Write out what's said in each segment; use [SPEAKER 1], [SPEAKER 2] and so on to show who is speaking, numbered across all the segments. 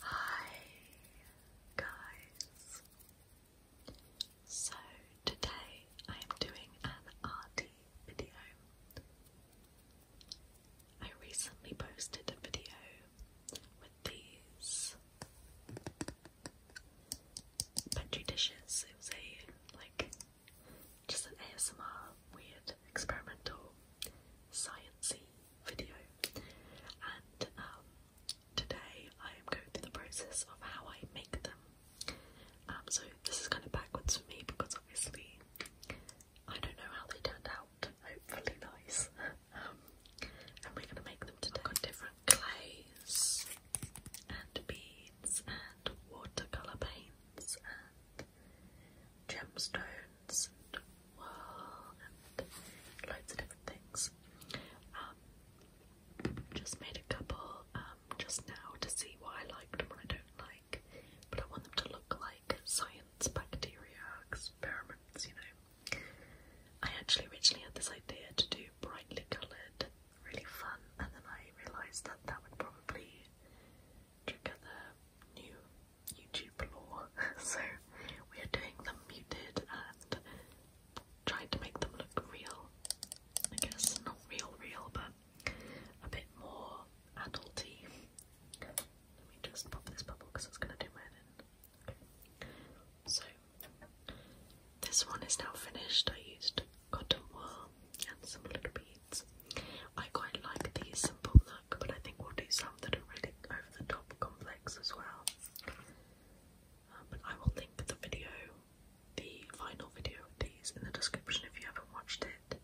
[SPEAKER 1] Hi guys. So today I am doing an RD video. I recently posted a video with these Petri dishes. It was a like just an ASMR weird experimental sciencey video. And um, today I am going through the process of how I make them. Um, so this is kind of backwards for me because obviously I don't know how they turned out. Hopefully nice. Um, and we're gonna make them today. i different clays and beads and watercolor paints and gemstones and wool and loads of different things. Um, just made a couple um, just now to see what I liked and what I don't like, but I want them to look like science bacteria experiments, you know. I actually originally had this idea to do brightly coloured, really fun, and then I realised that that would probably trigger the new YouTube law, so we are doing them muted and trying to make them look real. I guess not real, real, but a bit more adulty. Let me just pop this bubble because it's going to do my head So this one is now finished. I used cotton wool and some little beads. I quite like the simple look, but I think we'll do something that are really over the top complex as well. Um, but I will link the video, the final video of these, in the description if you haven't watched it.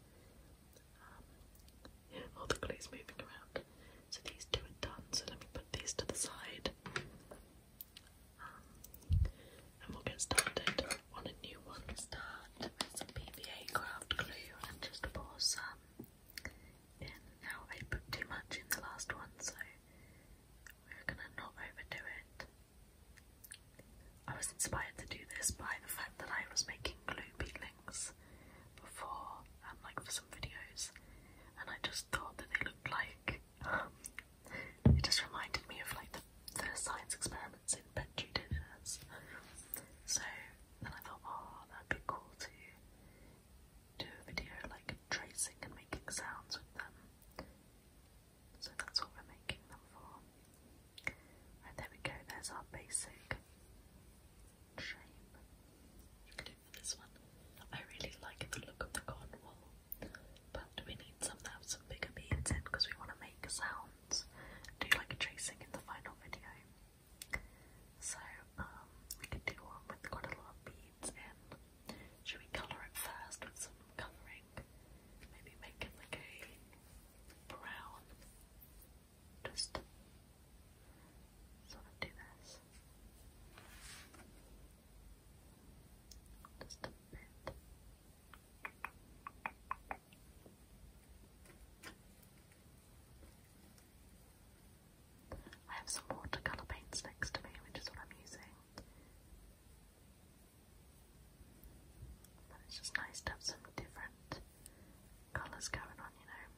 [SPEAKER 1] Um, all the glue's moving around. So these two are done, so let me put these to the side. Um, and we'll get started on a new one. Start with some PVA craft glue and just pour some now I put too much in the last one, so we're gonna not overdo it. I was inspired to do this by the fact that I was making glue peelings before, um, like for some videos, and I just thought that they looked like. Um, it just reminded me of like the, science experiments in Petri dishes. So then I thought, oh, that'd be cool to do a video like tracing and making sounds with them. So that's what we're making them for. Right, there we go, there's our basic shape. We do this one. I really like the look of the cotton wool, but we need some that have bigger beads in because we want to make sounds. Do like a tracing in the final video. So, um, we can do one with a lot of beads needs in. Should we colour it first with some colouring? Maybe make it like brown. Just sort of do this. Just I have some watercolour paints next to me, which is what I'm using. But it's just nice to have some different colours going on, you know.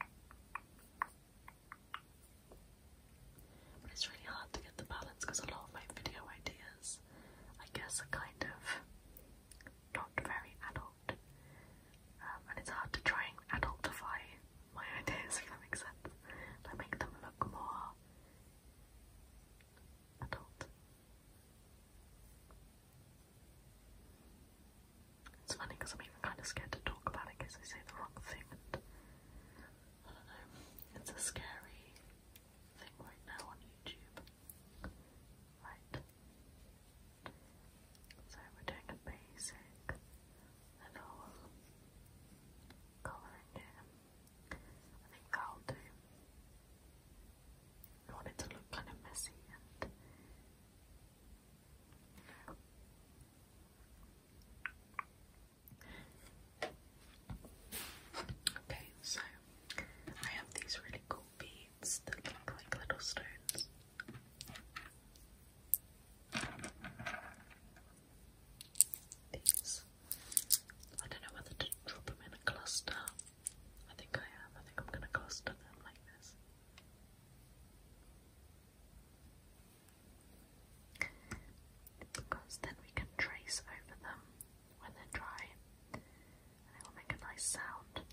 [SPEAKER 1] But it's really hard to get the balance because a lot of my video ideas, I guess, are kind of not very adult um, and it's hard to try and adultify my ideas, if that makes sense. Like, make them look more adult. It's funny I'm even kind of scared to talk about it in case I say the wrong thing. I don't know. It's a scary thing right now on YouTube. Right. So we're doing a basic little colouring here. I think that'll do. I want it to look kind of messy and you know. Okay, so I have these really cool beads that look like little stones. These. I don't know whether to drop them in a cluster. I think I am. I think I'm going to cluster them like this. Because then we can trace over them when they're dry and it will make a nice sound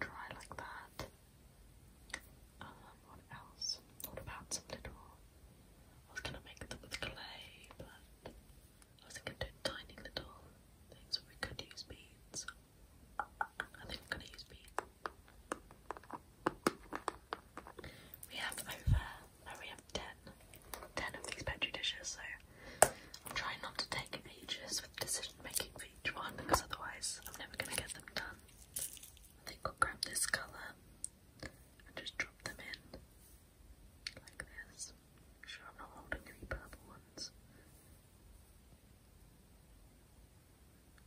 [SPEAKER 1] dry like that. Um, what else? What about some little? I was gonna make them with clay, but I was thinking do tiny little things where we could use beads. I think I'm gonna use beads. We have over now we have ten. of these petri dishes, so I'm trying not to take ages with decision making for each one because otherwise I'm never gonna get them done. I think I'll grab this colour and just drop them in like this. I'm sure I'm not holding any purple ones.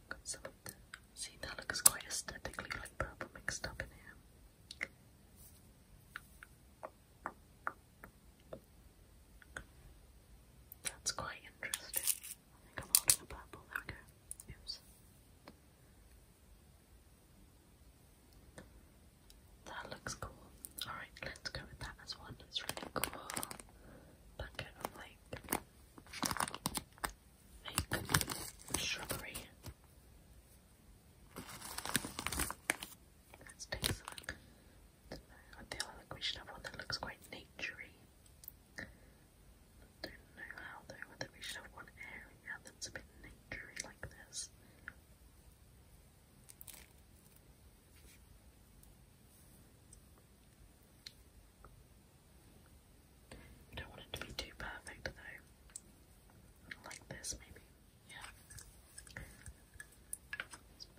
[SPEAKER 1] Got some of the See, that looks quite aesthetically like purple mixed up in here. That's quite interesting. I think I'm holding a purple. There we Oops. That looks cool. Alright, let's go with that as one. It's really cool. Bucket of like like shrubbery. Let's take a look. I feel we should have one that looks quite naturey. Don't know how though, whether we should have one area that's a bit naturey like this. You don't want it to be too perfect though. Like this maybe. Yeah.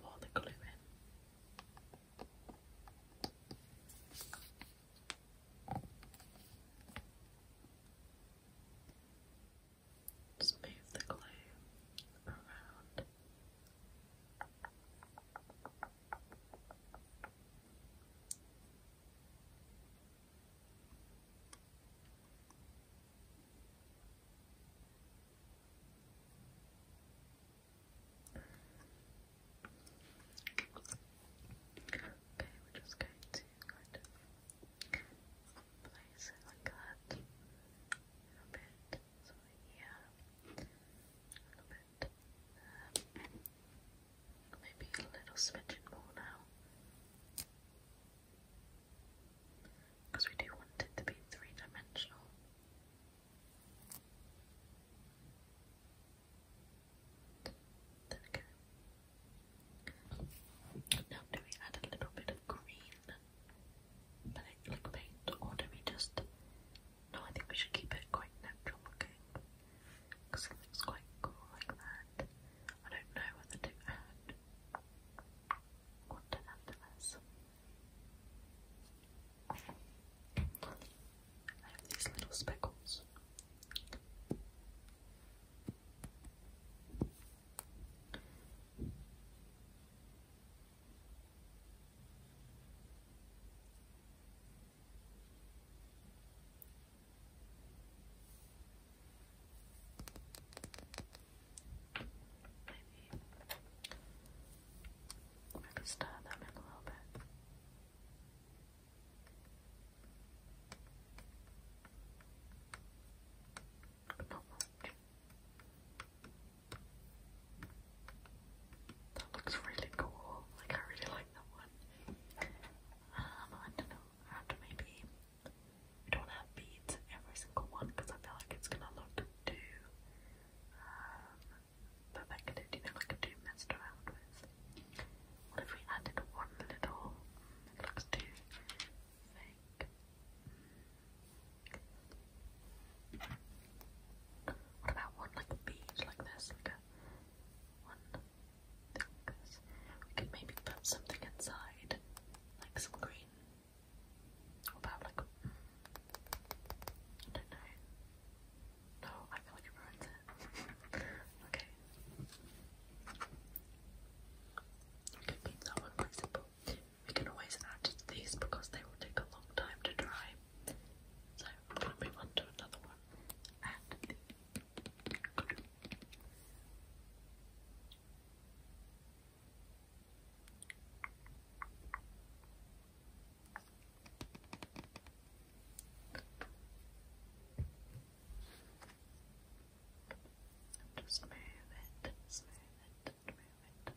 [SPEAKER 1] pour the glue in. Just the glue around. Okay, we're just going to kind of place it like that. A little bit, so a little bit Maybe a little smidgen more now. Because we do want it to be three dimensional. There Now, do we add a little bit of green like paint, or do we just. No, I think we should keep it quite natural looking because it looks quite cool like that. I don't know whether to add what to this. I have these little speckles. Maybe I can stir them in a little bit. That looks really cool. Like I really like that one. Um, I don't know maybe I don't have beads in every single one because I feel like it's gonna look too um, perfected, you know, like too messed around with. What if we added one little? It looks too fake. What about one like a bead like this, like a one, we could maybe put something inside, like some green, or about I don't know. No, I feel like it ruins it. okay. We can keep that one quite simple. We can always add these because they will take a long time to dry. So I'm going to move on to another one. And just move it, smooth it, and move it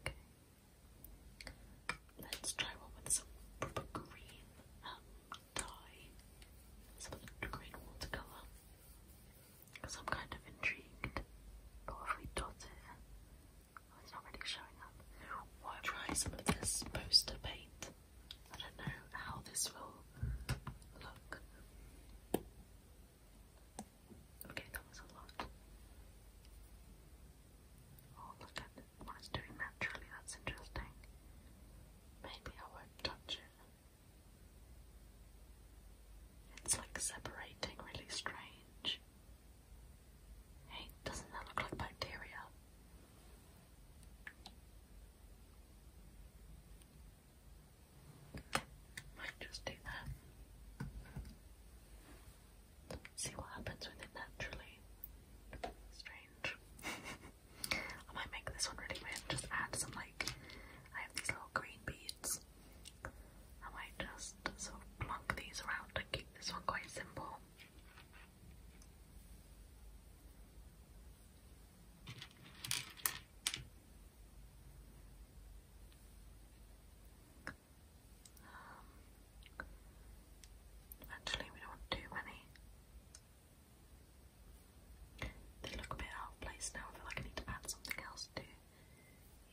[SPEAKER 1] Okay. Let's try one with some green um, dye. Some green watercolour. Because I'm kind of intrigued. But if we dot it, it's not really showing up. Why try some of this poster paint? I don't know how this will look. Okay, that was a lot. Oh, look at it. What it's doing that's interesting. Maybe I won't touch it. It's like separating really strange. Hey, doesn't that look like bacteria? I Might just do that. See what happens with it naturally. Strange. I might make this one really weird. Just add some like I have these little green beads. I might just sort of plonk these around and keep this one quite simple. Um, actually, we don't want too many. They look a bit out of place now. I feel like I need to add something else to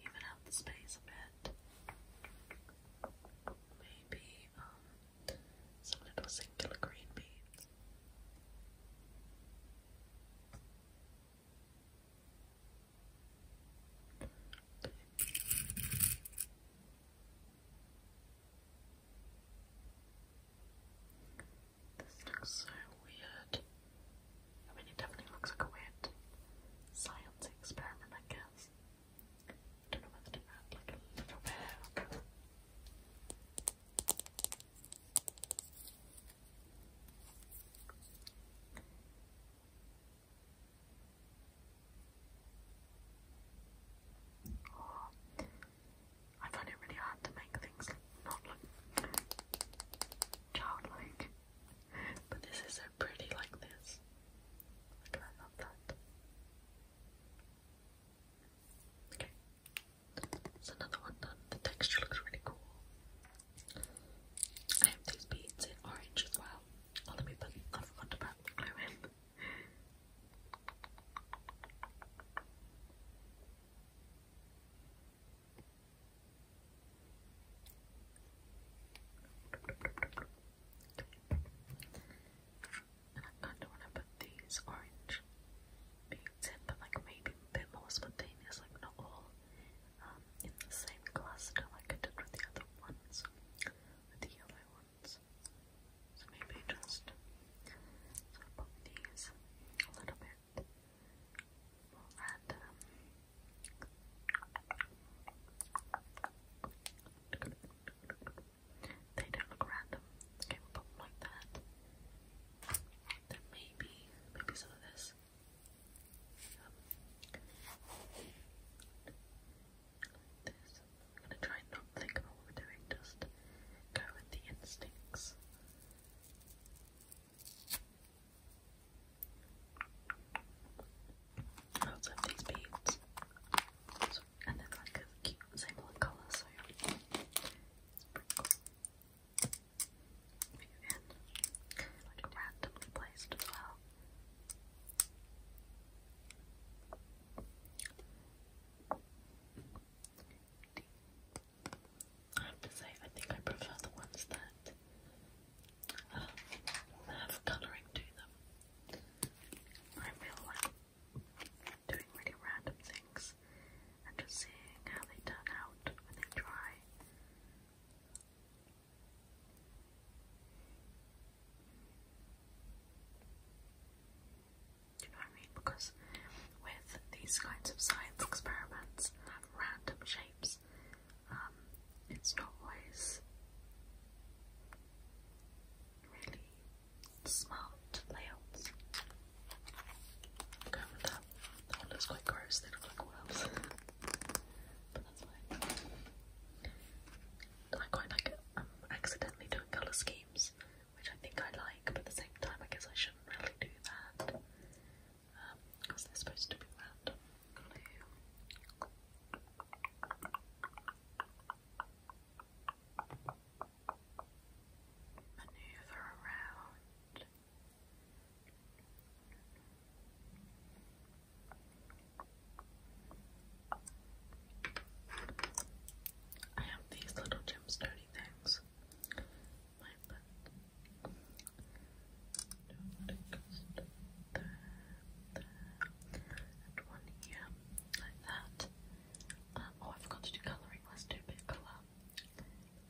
[SPEAKER 1] even out the space a bit. Maybe um, some little singular green beads. This looks so weird. I mean, it definitely looks like a weird science experiment, I guess. don't know whether to add like a I find it really hard to make things not look childlike, but this is so pretty like this. I love that. Okay. It's another one done. The texture looks really cool. I have these beads in orange as well. Oh, let me put, I forgot to put the glue in. And I kind of want to put these orange beads but like maybe a bit more spontaneous, like not all um, in the same cluster like I did with the other ones, with the yellow ones. So maybe just sort these a little bit more random. Um, they don't look random. Okay, we them like that. Then maybe, maybe some of this like this. I'm gonna try not think about what we're doing, just go with the instincts. also have these beads. and they're like a cute same colour, so it's if you can, like randomly placed as well. I have to say, I think I prefer the ones that um, have colouring to them. I feel like doing really random things and just seeing how they turn out when they dry do you know what I mean? Because with these kinds of science experiments have random shapes, um, it's not always really smart layouts. Oh, that one looks quite gross, they look like worms, but that's fine. I quite like it. i accidentally doing colour schemes, which I think I like, but at the same time, I guess I shouldn't really do that. because um, they're supposed to be random. Glue. Maneuver around. I have these little gem things. one here, like that. Um, oh, I forgot to do colouring. Let's do a bit of colour.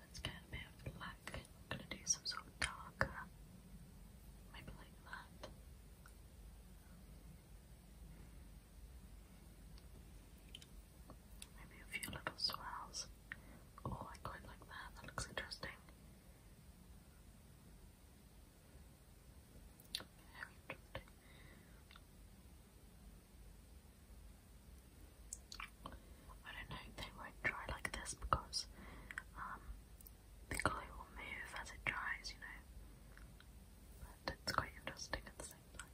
[SPEAKER 1] Let's get a bit of black. I'm gonna do some sort of darker, maybe like that. Maybe a few little swells. Oh, I quite like that. That looks interesting. Very interesting. I don't know, they won't dry like this because the glue will move as it dries, you know. But it's quite interesting at the same time.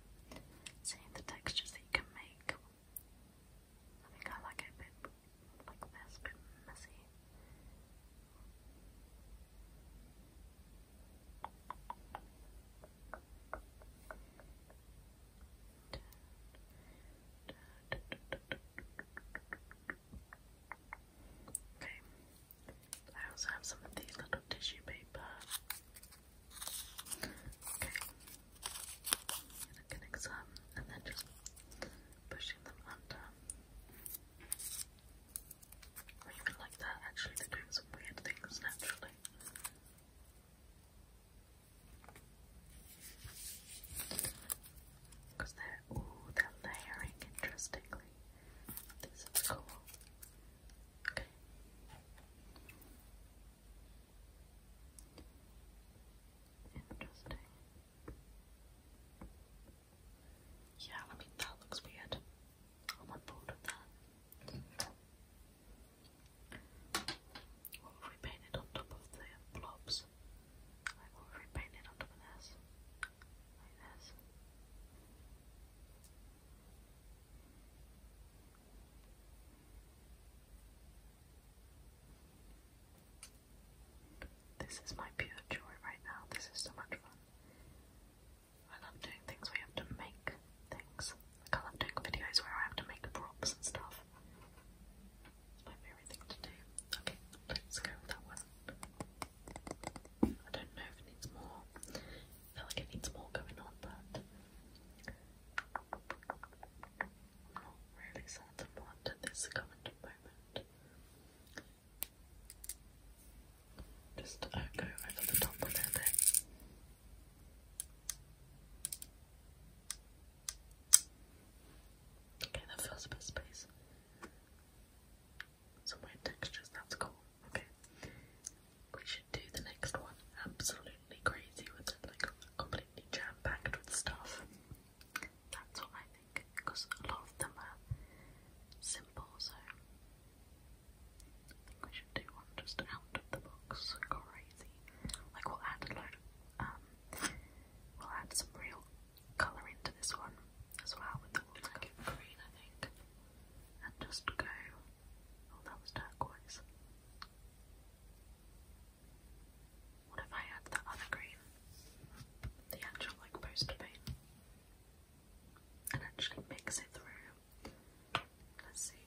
[SPEAKER 1] Seeing the textures that you can make. I think I like it a like this, bit messy. Okay. I also have some of these little tissue paper. Okay. I'm getting and then just pushing them under. even like that, actually, they're some weird things naturally. Because they're, ooh, they're layering interestingly. This is cool. Interesting. Yeah, I mean, that looks weird. I'm on board with that. What if we paint it on top of the blobs? Like what if we paint it on top of this? this. is my pure joy right now. This is so much fun. I love doing things where have to make things. I love doing videos where I have to make props and stuff my favorite thing to do. Okay, let's go with that one. I don't know if it needs more. I feel like it needs more going on, but not really certain what at this current moment. Just uh, go over the top a little Okay, that feels a bit of space. Some weird textures, that's cool. Okay. We should do the next one absolutely crazy with like completely jam packed with stuff. That's what I think, because a lot of them are simple, so we should do one just out of the box, crazy. Like we'll add a load of um, We'll add some real colour into this one as well with the like green I think. And just go oh that was turquoise. What if I add the other green? The actual like poster paint. And actually mix it through. Let's see.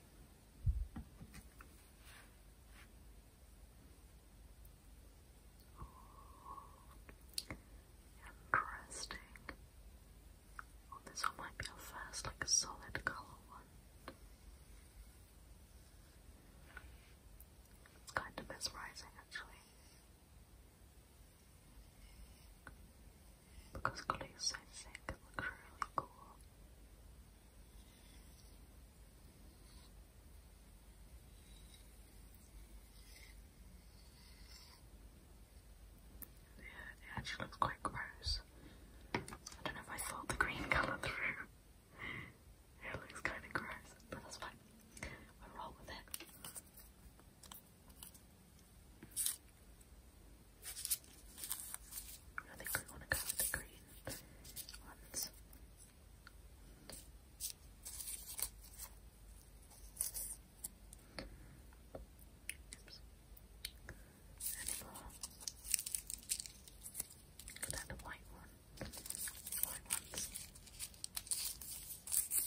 [SPEAKER 1] Interesting. Oh, this might be our first, like, solid colour one. It's kind of mesmerising, actually. Because glue is so thick, really cool it actually looks quite gross. I don't know if I saw the green colour through. it looks kind of gross, but that's fine. We'll roll with it. I want to go with the green ones. Any more? Look at that, the white one. The white ones.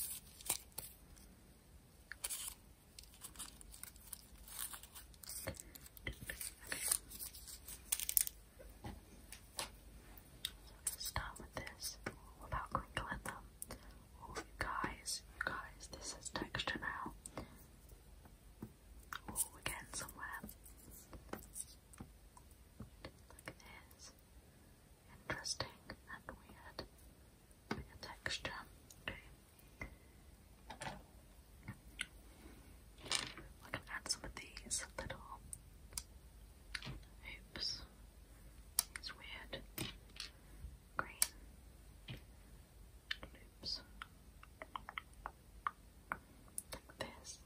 [SPEAKER 1] Okay. Start with this without crinkling them. Oh, you guys, you guys, this is texture now. Oh, we're getting somewhere. this. Interesting and weird. Bit of texture. Okay. I add some of these little Oops. It's weird. Green. Loops. this.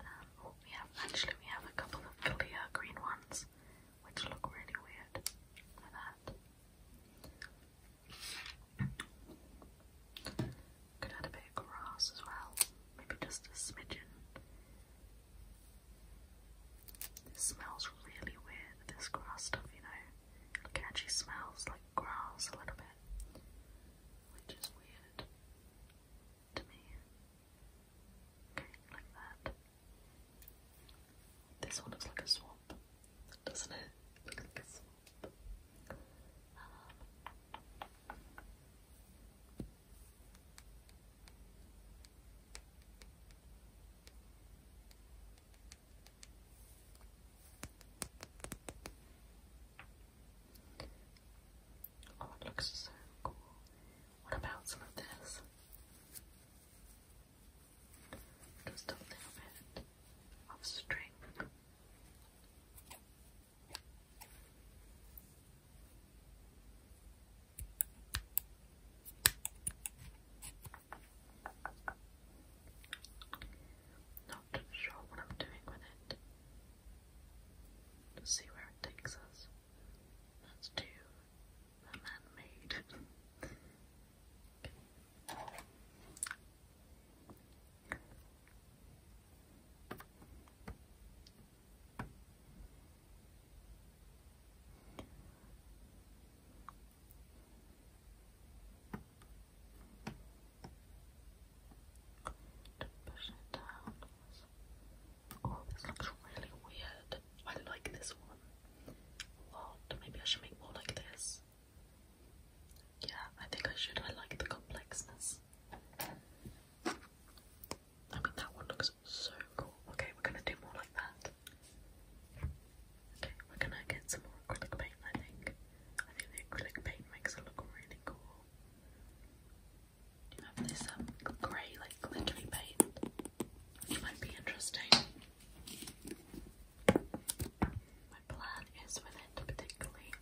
[SPEAKER 1] Um, we have, actually we have a couple of clear green ones which look really weird. Like that. Could add a bit of grass as well, maybe just a smidgen. This smells really weird, this grass stuff, you know. it actually smells like grass a little bit, which is weird to me. like that. This one looks like a swamp, doesn't it? like a swamp. Um, Oh, it looks so cool. What about some of this? Just a little bit of string. Not sure what I'm doing with it. see where it takes us. Let's man-made. Oh, this looks really weird. I like this one a lot. Maybe I should make more like this. Yeah, I think I should. I like the complexness. I mean, that one looks so cool. Okay, we're gonna do more like that. Okay, we're gonna get some more acrylic paint, I think. I think the acrylic paint makes it look really cool. You have this um, grey, like, glittery paint, which might be interesting. My plan is with it, particularly,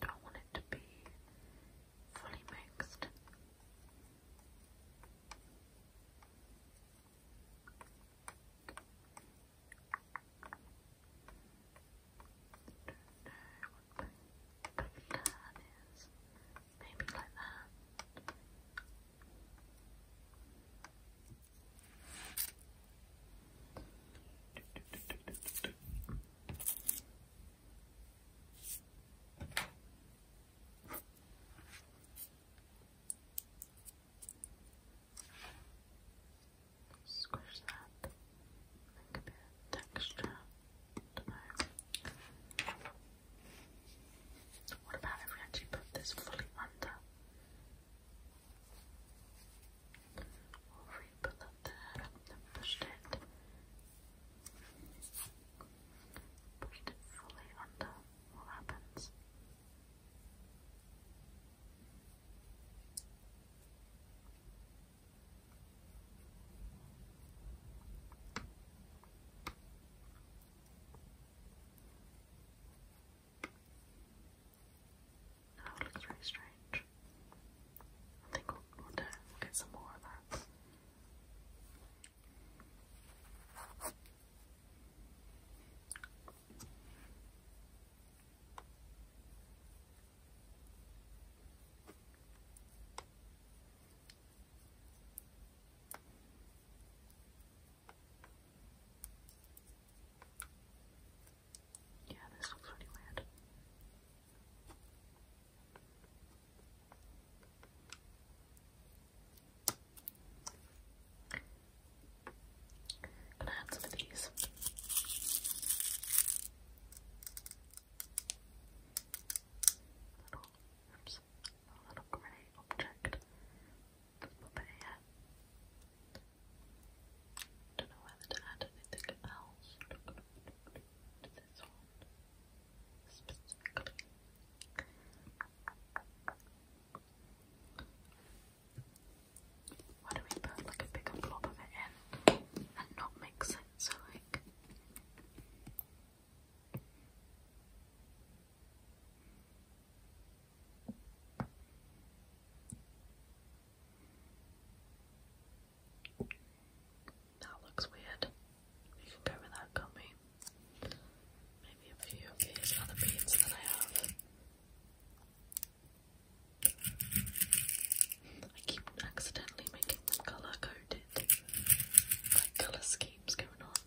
[SPEAKER 1] don't want it to be fully mixed. Don't know what the Maybe like that. Squish that, make a texture. I What about if we actually put this fully under We'll put that there push it. Push it fully under. What happens? I looks very strange. I think we'll get some more of that. Yeah, this looks pretty weird. gonna add some of these. Little, oops, a little grey object. But yeah. I don't know whether to add anything else to this one Why do we put like a bigger blob of it in and not mix it so like that looks weird. We can go with that, can Maybe a few of these other beads that I have. I keep accidentally making them colour coded. Like colour schemes going on.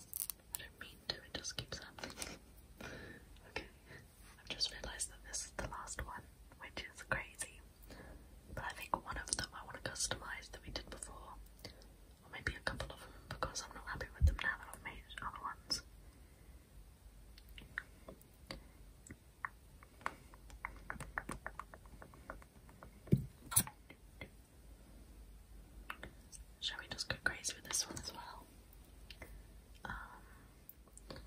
[SPEAKER 1] I don't mean to, it just keeps happening. okay. I've just realised that this is the last one, which is crazy. But I think one of them I want to customise that we did before, or maybe a couple of them because I'm not happy with them now that I've made other ones. Shall we just go crazy with this one as well? Um, and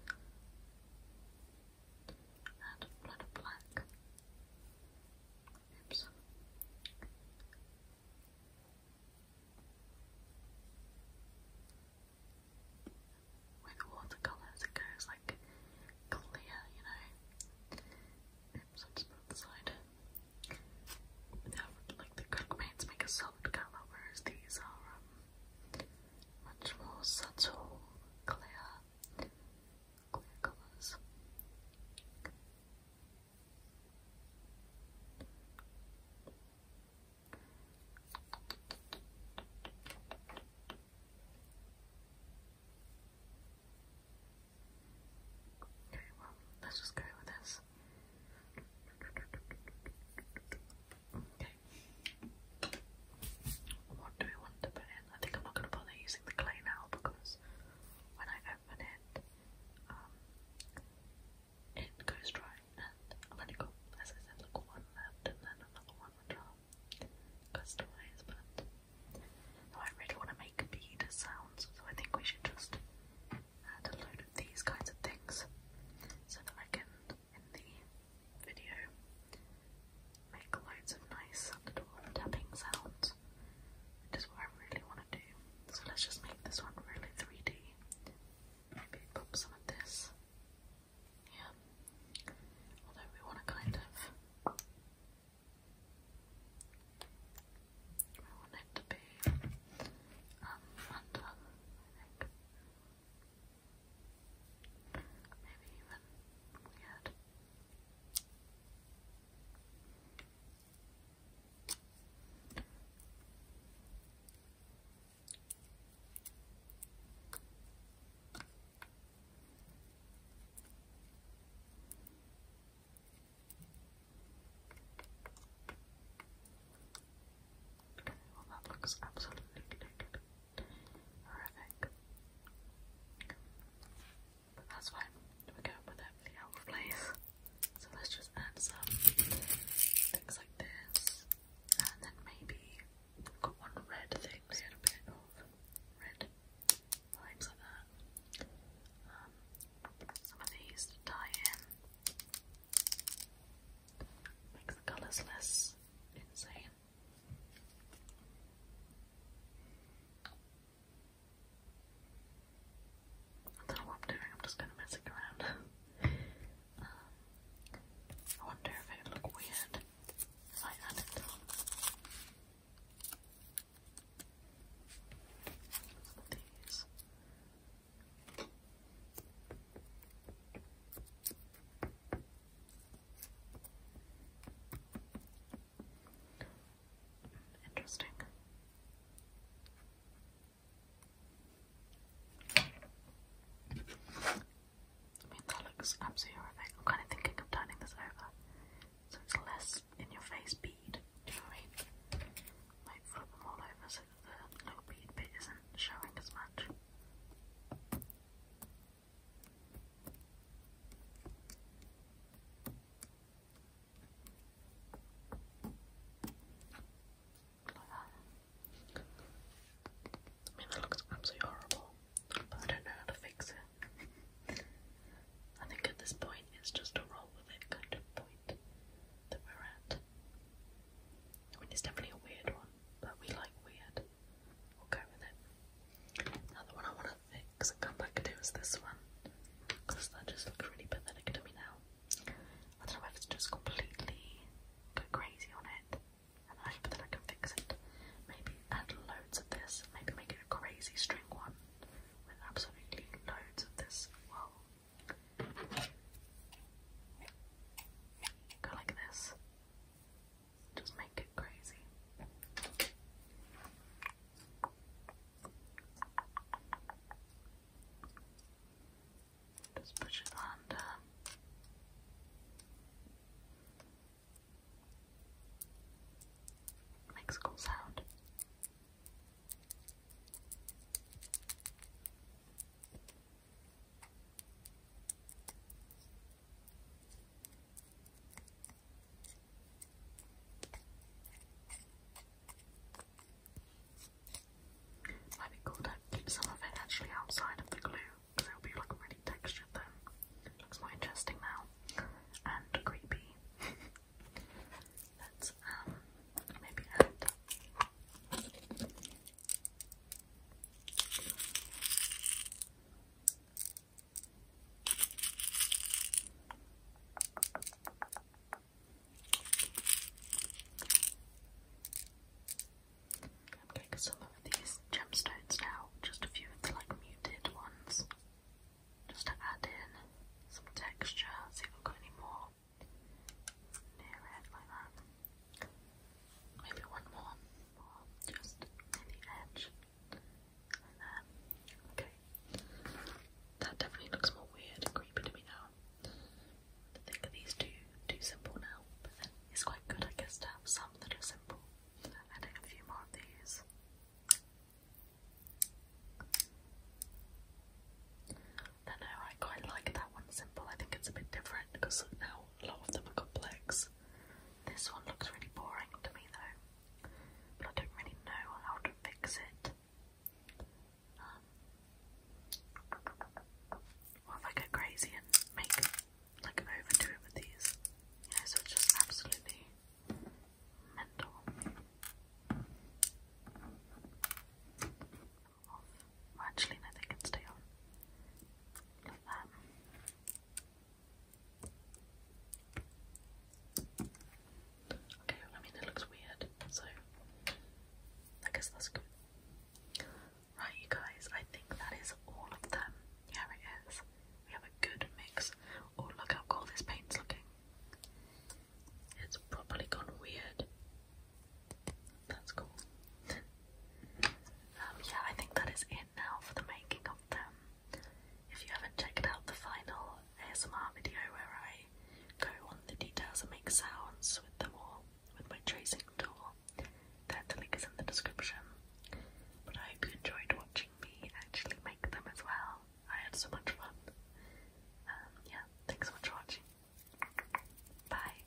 [SPEAKER 1] black Ipsum. With watercolours it goes like clear, you know. Ipsum just put the side. But like the cook paints make a solid colour, whereas these are um, much more subtle, clear, clear colours. Okay, well, let's just go with this. Okay, what do we want to put in? I think I'm not going to bother using the clay now because when I open it, um, it goes dry and I've only got, as I said, like one left and then another one which um, customise but I really want to make bead sounds so I think we should just add a load of these kinds of things so that I can in the video make loads of nice little tapping sounds, which is what I really want to do. So let's just make this one really 3D. Maybe pop some of this. Yeah. Although we want to kind of we want it to be um under, Maybe even weird. Maybe Okay, well that looks absolutely naked. Horrific. that's fine. We're going with it for the out of place. So let's just add some things like this. And then maybe got one red thing. We had a bit of red vibes like that. Um, some of these tie in. Makes the colours less insane. I don't know what I'm doing, I'm just gonna mess around. Um, I wonder if it would look weird if I added it these. Interesting. I mean, that looks absolutely horrific. I'm kind of thinking of turning this over so it's less in your face bead. Do you know what I mean? Like flip them all over so the little bead bit isn't showing as much. I that looks absolutely horrible, but I don't know how to fix it. I think at this point it's just a roll with it kind of point that we're at. I mean, it's definitely a weird one, but we like weird we with it. Now one I want to fix and come back to is this one. Because that just looks really pathetic to me now. I don't know whether to just completely go crazy on it and hope that I can fix it. Maybe add loads of this, maybe make it a crazy string one with absolutely loads of this. Whoa. Go like this. Just make it crazy. Just push it under. Makes a cool sound. Might be cool to keep some of it actually outside of the glue, because it'll be like really textured then. Looks more interesting now. And creepy. Let's um maybe add I'm getting some of these gemstones now, just a few of the like muted ones, just to add in some texture, see if I've got any more near it like that maybe one more, just near the edge, and then, okay, that definitely looks more weird and creepy to me now. I think of these two too simple now, but then it's quite good, I guess, to have some that are simple. Adding a few more of these. I know I quite like that one simple. I think it's a bit different because now a lot of them are complex. This one looks really boring to me though, but I don't really know how to fix it. Um, what if I go crazy and make like overdo it with these? You know, so it's just absolutely mental. actually, no, can stay on. Okay, I mean, it looks weird, so I guess that's good. Right, you guys, I think that is all of them. Here it is. We have a good mix. Oh, look how cool this paint's looking. It's properly gone weird. That's cool. Um, yeah, I think that is it now for the making of them. If you haven't checked out the final ASMR video where I go on the details and make sounds with them all with my tracing tool, that the link is in the description. But I hope you enjoyed watching me actually make them as well. I had so much fun. Um, yeah, thanks so much for watching. Bye.